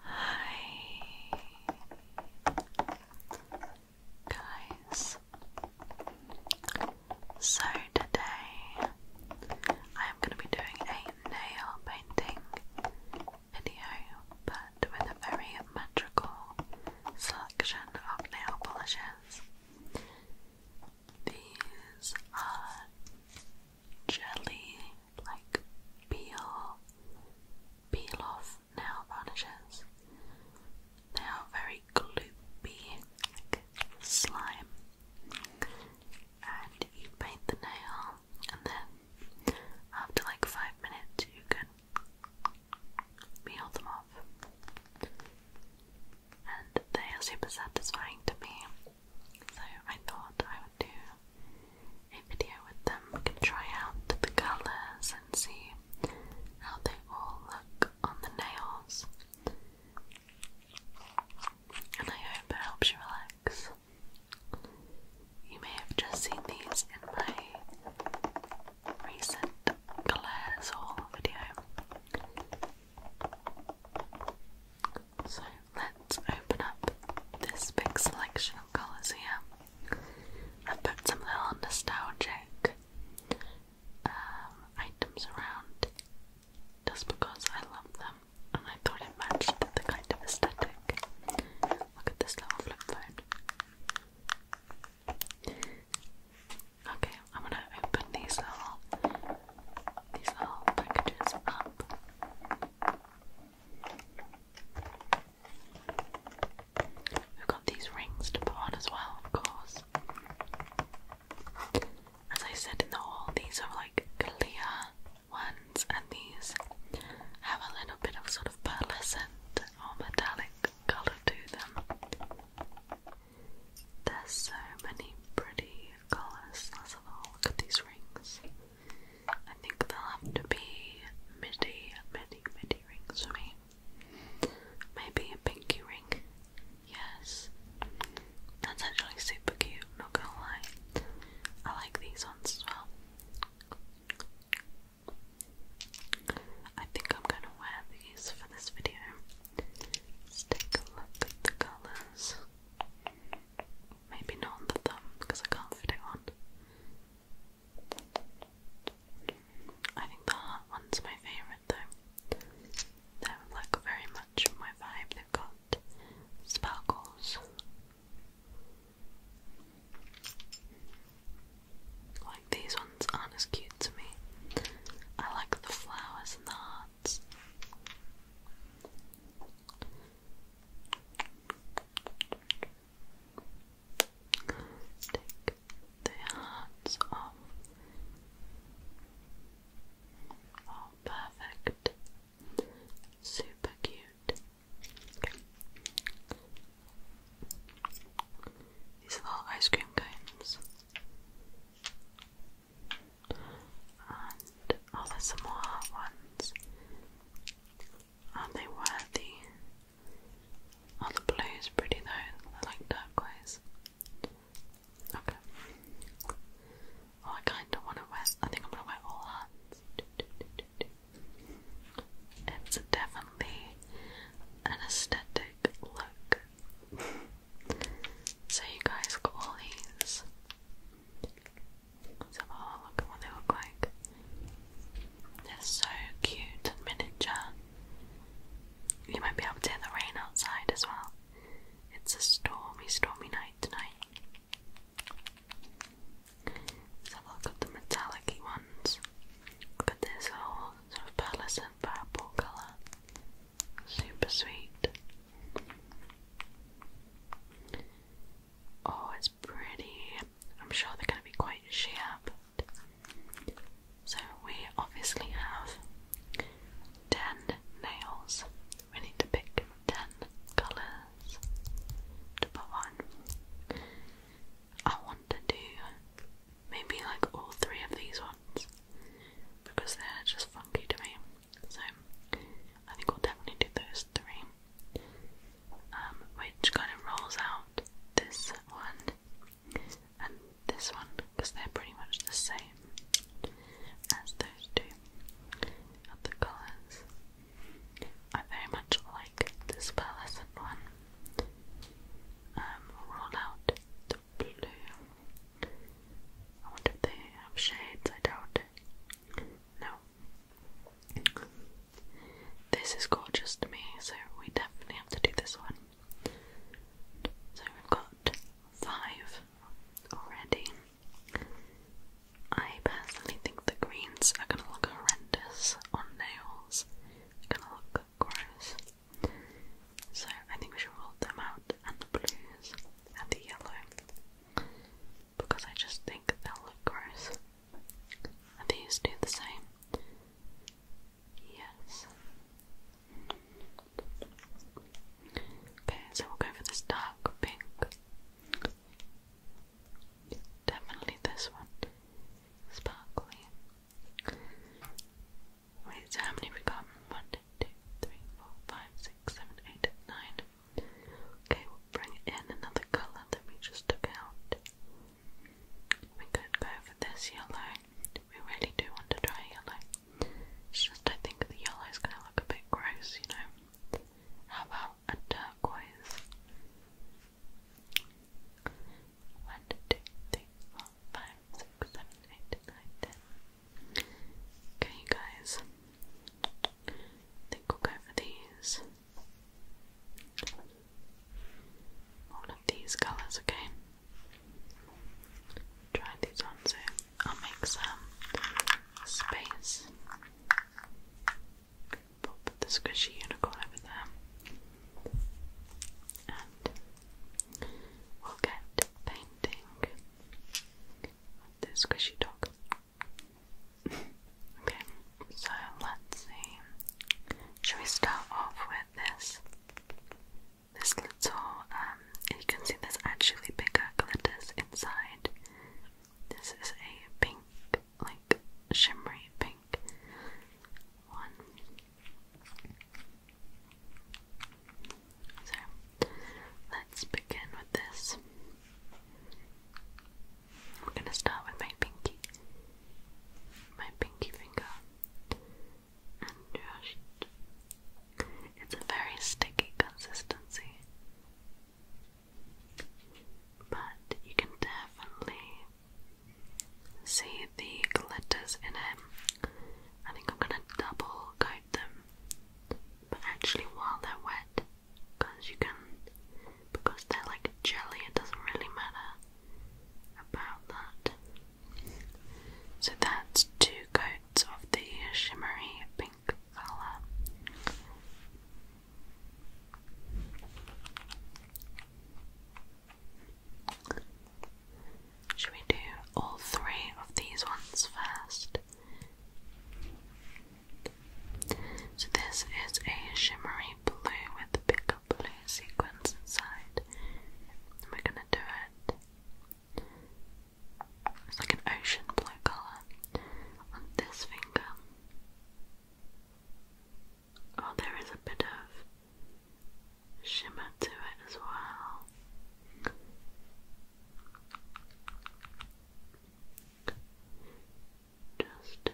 Hi guys. So today I am going to be doing a nail painting video but with a very magical selection of nail polishes. These are jelly like peel, peel off nail varnishes. They are very gloopy, like slime. And you paint the nail, and then after like five minutes, you can peel them off. And they are super satisfying to me, so I thought I do a video with them. We can try out the colours and see how they all look on the nails. And I hope it helps you relax. You may have just seen these in my recent colours haul video. So let's open up this big selection of colours here. I've put some little nostalgic um, items around just because I love them and I thought it matched the kind of aesthetic. Look at this little flip phone. Okay, I'm gonna open these little these little packages up. We've got these rings to put on as well, of course. As I said in the haul, these are like clear ones, and these have a little bit of sort of pearlescent or metallic colour to them. There's so many pretty colours. Let's have these rings. I think they'll have to be midi, midi, midi rings for me. Maybe a pinky ring. Yes. That's actually super cute, not gonna lie. I like these ones as well. I think I'm gonna wear these for this video. Let's take a look at the colours. Maybe not the thumb because I can't fit it on. I think the heart one's my favourite though. They're like very much my vibe. They've got sparkles. Like these ones aren't as cute to me. I like the flowers and the hearts. Take the hands off. Oh, perfect. Super cute. Okay. These little ice cream cones and oh, there's some more hot ones. are they worthy? Oh, the blue's pretty though. I like turquoise. Okay. Oh, I kind of want to wear. I think I'm gonna wear all hats. It's definitely an aesthetic look. so you guys got all these let oh, look at what they look like. They're so cute and miniature. You might be able to hear the rain outside as well. It's a stormy, stormy night tonight. let look at the metallic ones. Look this whole oh, sort of pearlescent purple colour. Super sweet. Oh, it's pretty. I'm sure they're going to be quite sharp. So, we obviously have 10 nails. We need to pick 10 colours to put on. I want to do maybe like all three of these ones because they're just funky to me. So I think we'll definitely do those three. Um, which kind of rolls out this one and this one because they're pretty much the same as those two of the colours. I very much like this pearlescent one. we'll um, roll out the blue. I wonder if they have shades, I doubt it. Now, this is gorgeous to me, so we definitely have to do this one. So we've got five already. I personally think the greens are going to look horrendous on nails. going to look gross. So I think we should roll them out and the blues and the yellow because I just think they'll look gross. And these do the same. Yes. Okay, so we'll go for this dark pink. Definitely this one. Sparkly. Wait, so how many we got? One, two, three, four, five, six, seven, eight, nine. Okay, we'll bring in another colour that we just took out. We could go for this yellow. We really do want to try yellow. It's just I think the yellow's gonna look a bit gross, you know. How about a turquoise? One, two, three, four, five, six, seven, eight, nine, ten. Okay, guys. think we'll go for these. All of these colours, okay? Try these on so I'll make some space. Pop the squishy unicorn over there. And we'll get painting the squishy dog. okay, so let's see. Should we start off with this? This little, um, you can see there's actually bigger glitters inside. This is a pink, like shimmery pink one. So let's begin with this. We're going to start with my pinky, my pinky finger, and just it's a very sticky consistency, but you can definitely see the glitters in it. I think I'm going to double coat them but actually while they're wet, because you can, because they're like jelly, it doesn't really matter about that. So that's two coats of the shimmery pink colour. Should we do all three of these ones first? So this is a shimmery blue with a big blue sequence inside. we're gonna do it. It's like an ocean blue colour on this finger. Oh, there is a bit of shimmer to it as well. Just,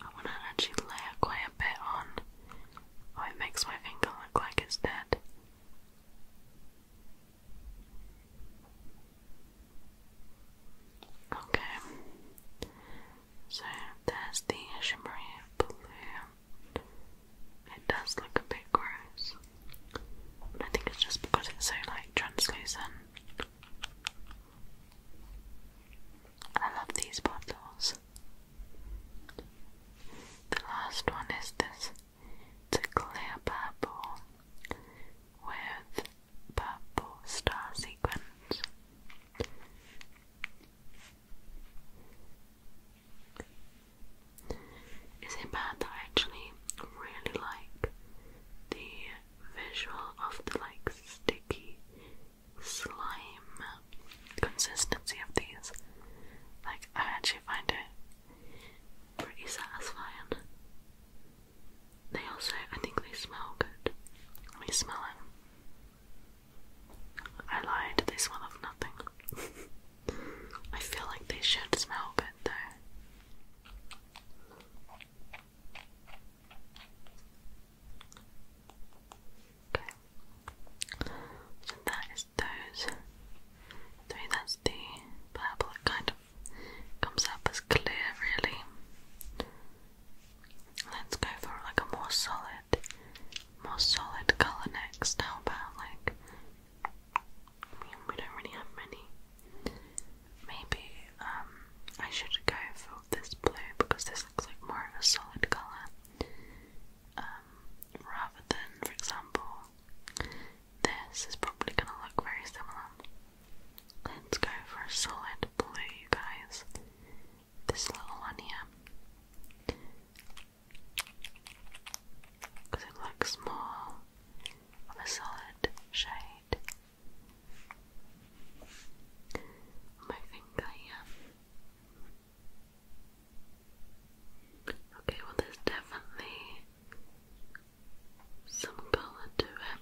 I want to actually layer quite a bit on, oh, it makes my finger look like it's dead. Okay, so there's the shimmery blue. It does look a bit gross. I think it's just because it's so like translucent. I love these bottles. The last one is this. a clear purple with purple star sequins is a pad that I actually really like. The visual of the like sticky slime consistency of these. Like I actually find it pretty satisfying. They also I think they smell good. Let me smell it. I lied, they smell of nothing. I feel like they should smell good though. Okay. So that is those three. That's the purple. kind comes up as clear, really. Let's go for like a more solid solid, more solid color next. How about like we, don't really have many. Maybe um, I should go for this blue because this looks like more of a solid color. Um, rather than for example this is probably gonna look very similar. Let's go for a solid blue you guys. This little one here because it looks more of a solid shade. My finger here. Okay, well, there's definitely some colour to it.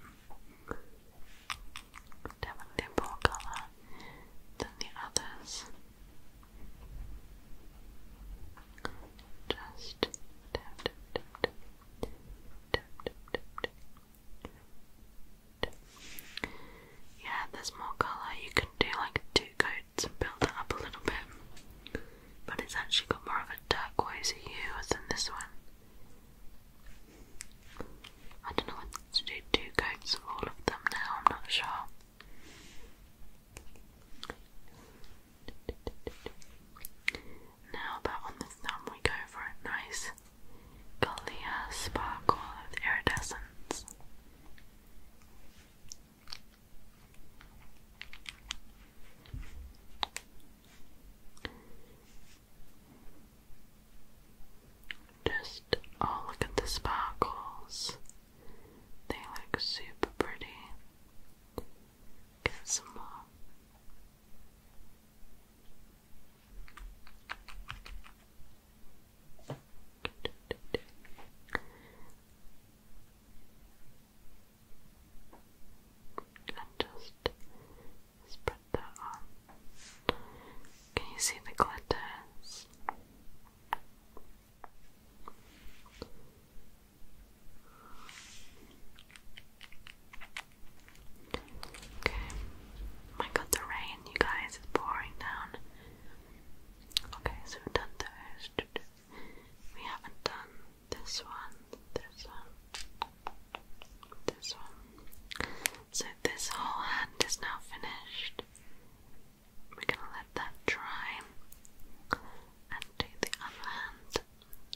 Definitely more colour than the others. Just Yeah, there's more colour. You can do like two coats and build it up a little bit, but it's actually got more of a turquoise hue than this one. I don't know what to do. Two coats of all of them now. I'm not sure. Now about on the thumb we go for a nice clear sparkle iridescence. Just oh, look at the sparkles. They look super pretty. Get some more. And just spread that on. Can you see the glitters? Okay. My god, the rain, you guys, is pouring down. Okay, so we've done those. We haven't done this one, this one, this one. So this whole hand is now finished. We're gonna let that dry. And to the other hand,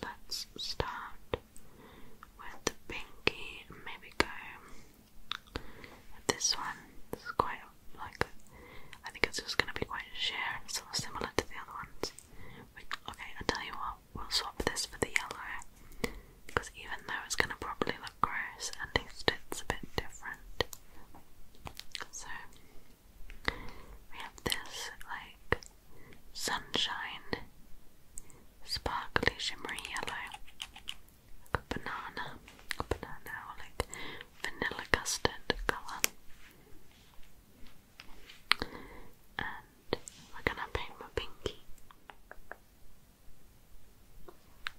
let's start with the pinky maybe go this one. This is quite like I think it's just gonna be quite sheer and sort of similar to the other ones. okay, i tell you what, we'll swap this for the yellow because even though it's gonna probably of gross, at it's a bit different. So, we have this like sunshine, sparkly, shimmery yellow, a banana, a banana or like vanilla custard colour. And we're gonna paint my pinky.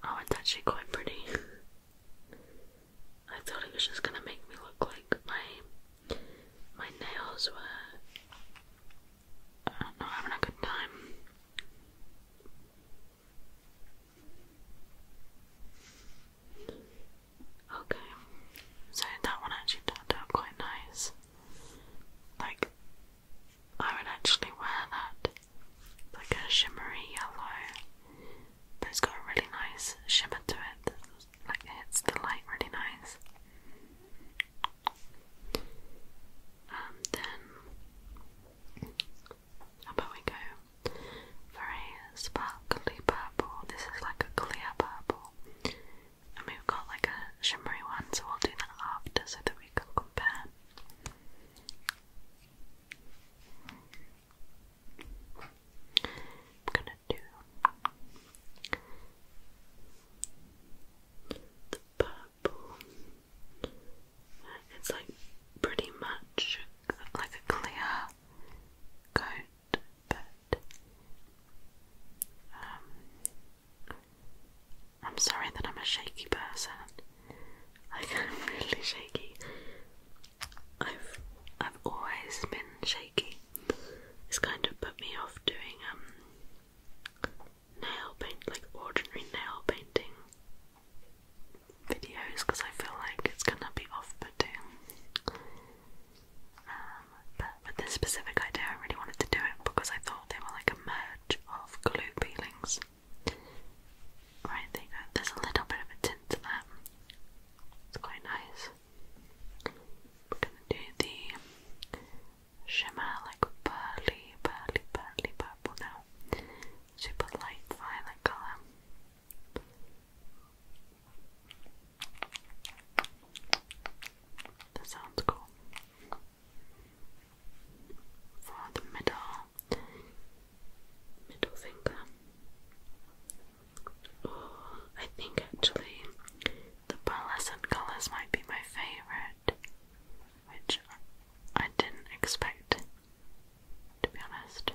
Oh, it's actually quite pretty. I thought it was just gonna make me look like my my nails were I don't having a good time. Okay, so that one actually turned out quite nice. Like, I would actually wear that like a shimmery yellow. But it's got a really nice shimmer to it. Like it hits the light really nice. Um, then how about we go for a sparkly purple? This is like a clear purple, and we've got like a shimmery one, so we'll do that after so that we can compare. I'm gonna do the purple. It's like pretty much like a clear coat, but um, I'm sorry that I'm a shaky person. I'm really shaky. I've I've always been shaky. It's kind of put me off doing um nail paint like ordinary nail painting videos because I feel like it's gonna be off-putting. Um, but with this specific idea, I really wanted to do it because I thought they were like a merge of glue peelings. Right, There's a little bit of a tint to that. It's quite nice. We're gonna do the shimmer, like pearly, pearly, pearly purple now. Super light violet colour. That sounds cool for the middle middle finger. Oh, I think actually the pearlescent colours might be my favourite, which I didn't expect to be honest.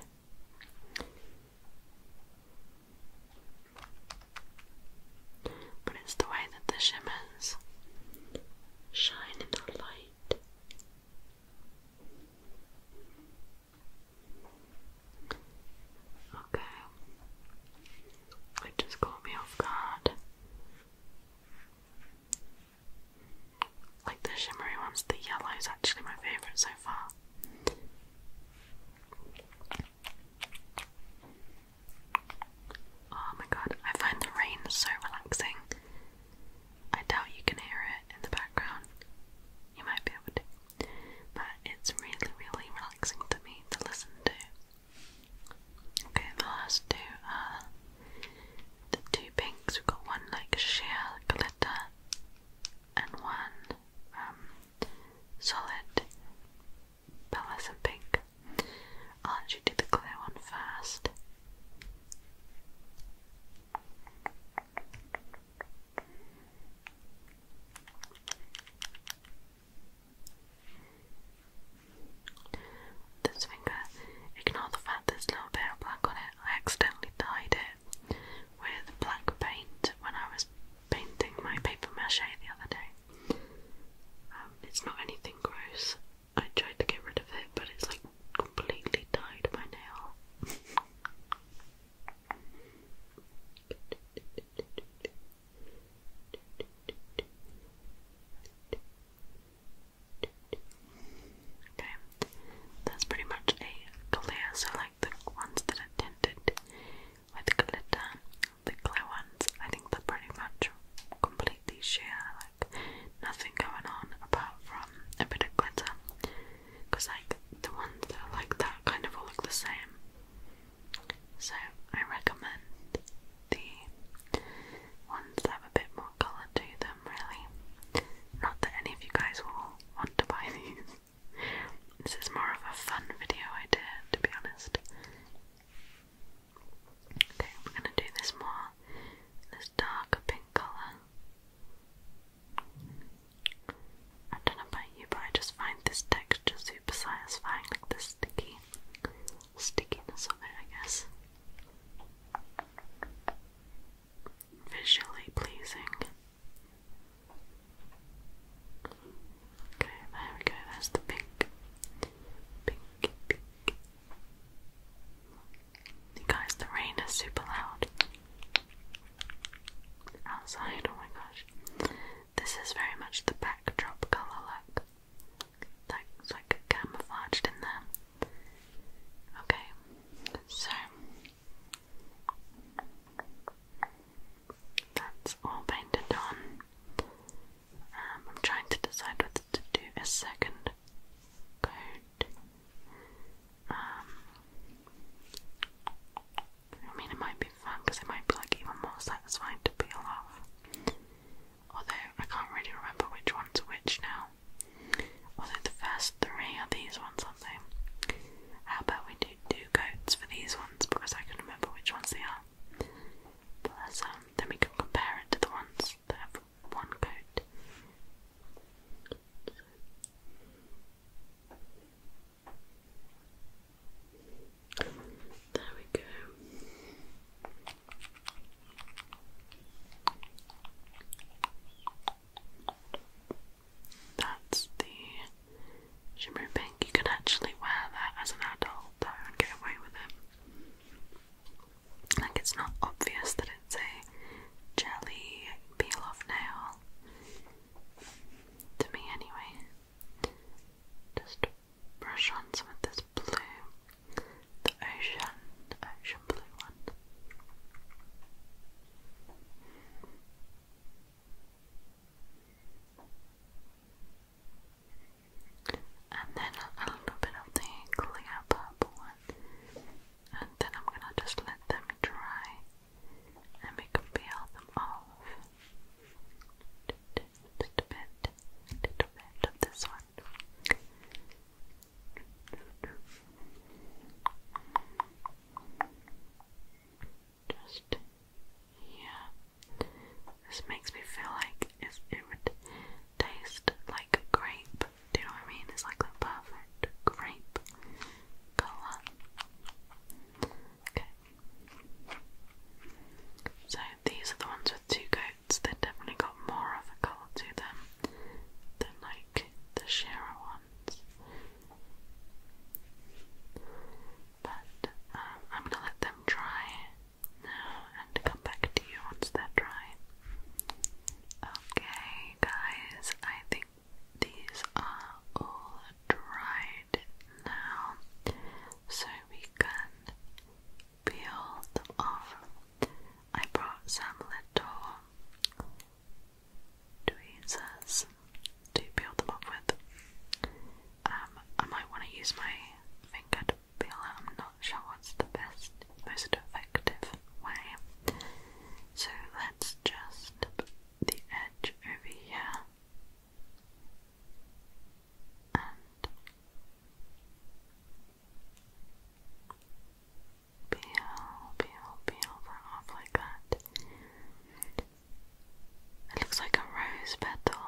But it's the way that the shimmers shine in the light Okay. It just caught me off guard. Like the shimmery ones, the yellow is actually my favourite so far. Oh my god, I find the rain so relaxing. I doubt you can hear it in the background. You might be able to, but it's really, really relaxing to me to listen to. Okay, the last two are the two pinks. We've got one like sheer glitter and one um, solid pearlescent pink. I'll actually do the clear one first. This finger, ignore the fact there's a little bit of black on it. I accidentally dyed it with black paint when I was painting my paper mache the other day. Um, it's not anything gross, I tried to get rid of it, but it's like completely dyed my nail. Okay, that's pretty much a clear, so like the ones that are tinted with glitter, the clear ones, I think they're pretty much complete lately. She like nothing going on apart from a bit of glitter, because like the ones like that kind of all look the same. So I recommend the ones that have a bit more colour to them, really. Not that any of you guys will want to buy these. This is more of a fun video idea, to be honest. Okay, we're going to do this more this darker pink colour. I don't know about you, but I just find this texture super satisfying, like the sticky stickiness of it, I guess. Visually pleasing. Okay, there we go, that's the pink, pink, pink, Guys, the rain is super loud outside. Oh my gosh, this is very much the backdrop color. Look, like like camouflaged in there. Okay, so that's all painted on. Um, I'm trying to decide whether to do a second coat. Um, I mean, it might be fun because it might be like even more satisfying to peel off. Although I can't really remember which one's which now. Although the first three are these ones, aren't How about we do two coats for these ones because I can remember which ones they are. Um, then we can compare it to the ones that have one coat. There we go. That's the shimmery pink. You could actually wear that as an adult though and get away with it. Like it's not obvious that it's a jelly peel off nail. To me, anyway. Just brush on some of this blue, the ocean, ocean blue one and then a little bit of the clear purple one, and then I'm gonna just let them dry, and we can peel them off. Just bit, little bit of this one. Just here, this makes me feel like it would taste like a grape. Do you know what I mean? It's like the perfect grape colour. Okay. So these are the ones with two coats. they definitely got more of a colour to them than like the sheerer ones. But um, I'm gonna let them dry and come back to you once they're dry. Okay, guys, I think these are all dried now, so we can peel them off. I brought some little tweezers to peel them up with. Um, I might want to use my finger I'm not sure what's the best, most effective way. So let's just put the edge over here and peel, peel, peel that off like that. It looks like a rose petal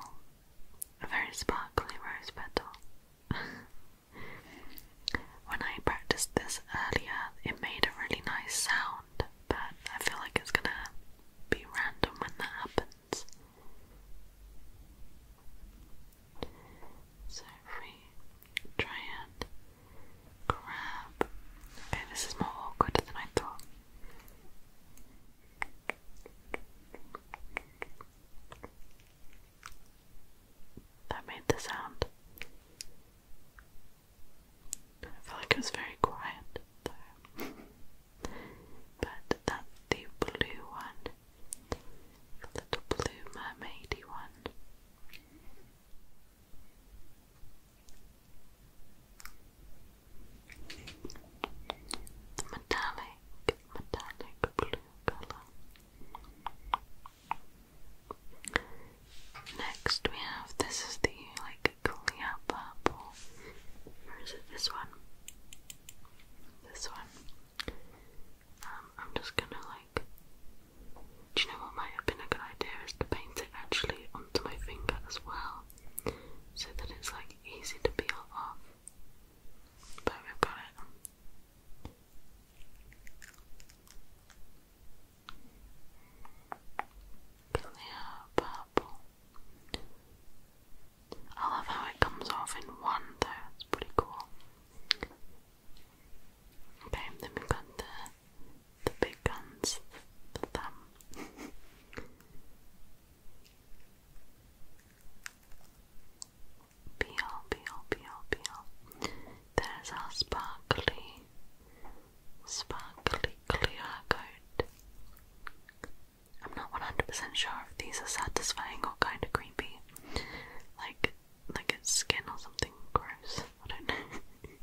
a very sparkly rose petal. when I practiced this earlier, it made a really nice sound, but I feel like it's gonna be random when that happens. So if we try and grab. Okay, this is more awkward than I thought. That made the sound. I feel like it was very quiet though. but that's the blue one. The little blue mermaidy one. The metallic metallic blue color. Next we have this is the like clear purple. Or is it this one? This one. Um, I'm just gonna like do you know what might have been a good idea is to paint it actually onto my finger as well so that it's like easy to peel off but we've got it. Clear purple. I love how it comes off in one though, it's pretty cool. Okay, then we've got the the big guns, the thumb. Peel, peel, peel, peel. There's our sparkly, sparkly clear coat. I'm not 100% sure if these are satisfying or kind of creepy. Like, like it's skin or something gross. I don't know.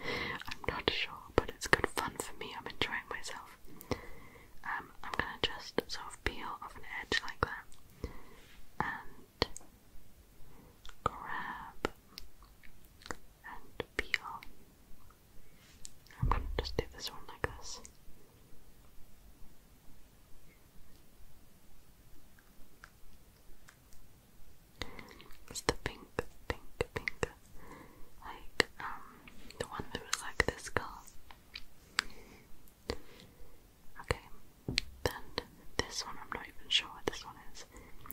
I'm not sure, but it's good fun for me. I'm enjoying myself. Um, I'm gonna just sort of peel off an edge like that and grab and peel. I'm gonna just do this one like this. It's the pink, pink, pink, like um, the one that was like this girl. Okay, then this one, I'm not even sure what this one is.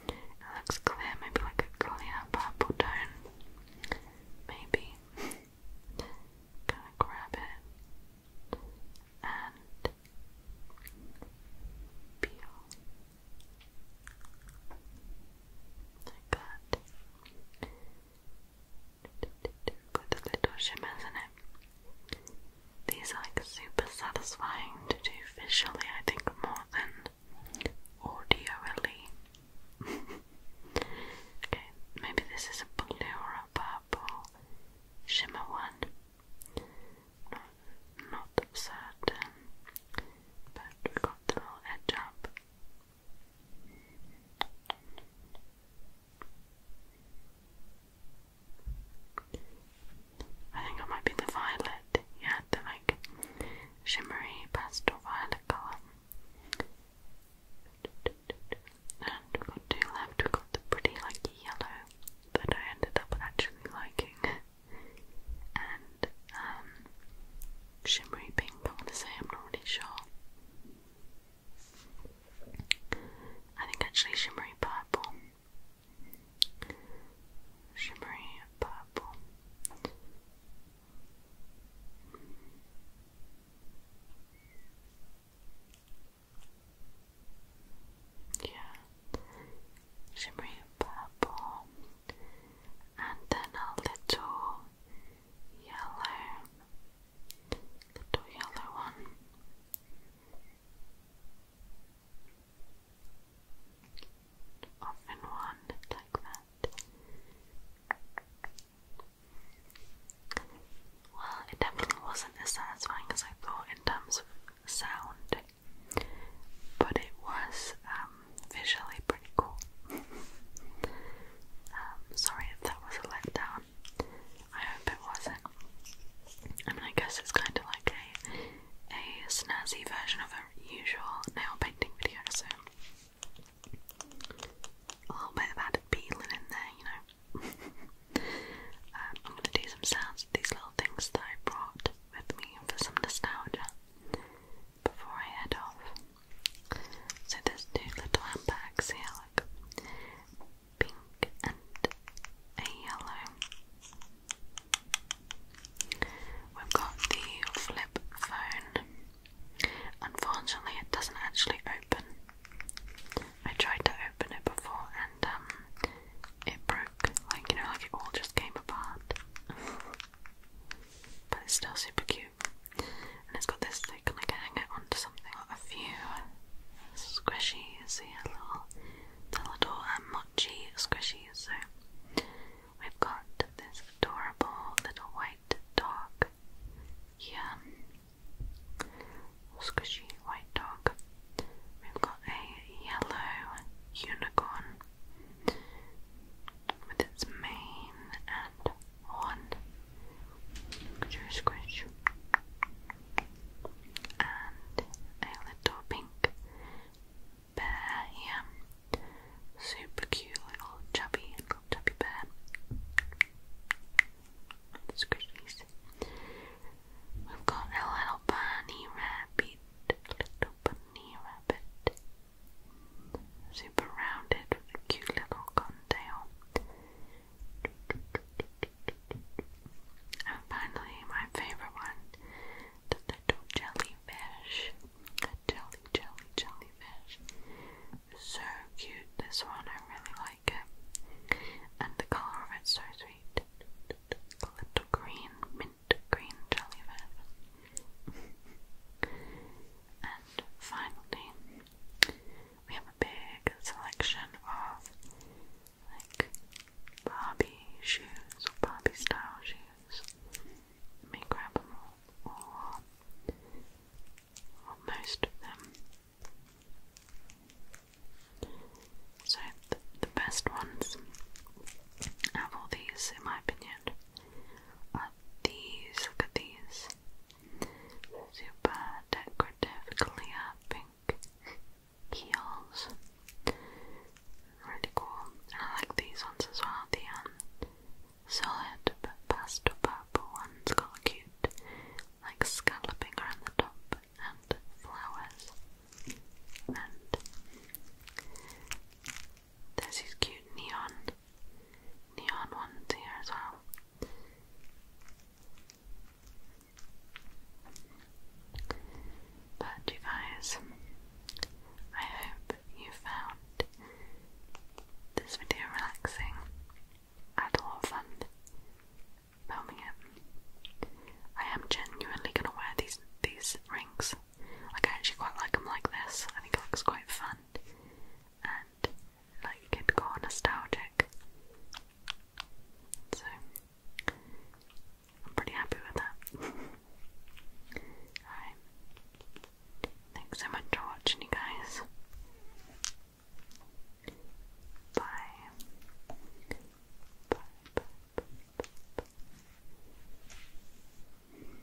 It looks clear, maybe like a clear purple tone. Maybe. Gonna grab it and peel. Like that with the little shimmers in it. These like super satisfying to do visually, I think, more than audioally. okay, maybe this is a blue a purple shimmer one. Not, not certain, but we got the little edge up. I think it might be the violet. Yeah, the like shimmery pastel violet colour. And we've got two left. We've got the pretty like yellow that I ended up actually liking, and um, shimmery pink. I want to say I'm not really sure. I think actually shimmery purple. Shimmery purple. Yeah. Shimmery purple. And then a little yellow, little yellow one. Often one like that. Well, it definitely wasn't as satisfying as I thought in terms of sound, but it was um, visually cool. Um, sorry if that was a letdown. I hope it wasn't. I mean, I guess it's kind of like a a snazzy version of a usual nail painting video, so a little bit of added peeling in there, you know. Um, I'm gonna do some sounds of these little things that I brought with me for some nostalgia before I head off. So there's two little handbags here, like pink and a yellow. We've got the flip phone. Unfortunately, it doesn't actually open. I tried to open it before and um, it broke. Like, you know, like it all just came apart. but it's still super cute and it's got this so you can like hang it onto something. Got a few squishies here, little, the little mochi um, squishies. So we've got this adorable little white dog here, squishy white dog. We've got a yellow unicorn with its mane and horn. Squish, squish. And a little pink bear here. Super cute little chubby, little chubby bear. Squishies. We've got a little bunny rabbit, little bunny rabbit, super rounded with a cute little contail. And finally, my favorite one, the little jellyfish. jelly, jelly, jellyfish. So cute, this one, I really like it. And the color of it's so sweet. A little green, mint green jellyfish. And finally, we have a big selection of like Barbie shoes or Barbie style shoes. Let me grab them all, or, most of them. So, the, best ones out all these, in my opinion, are these. Look at these. Super decorative clear pink heels. Really cool. And I like these ones as well. The um, solid but pastel purple ones got cute, like scalloping around the top and flowers. And there's these cute neon neon ones here as well. But you guys, I hope you found this video relaxing. had a lot of fun filming it. I am genuinely gonna wear these these rings. Like I actually quite like them like this. I think it looks quite fun and like it got nostalgic. So I'm pretty happy with that. Alright. Thanks so much for watching you guys. Bye. Bye, bye, bye, bye, bye.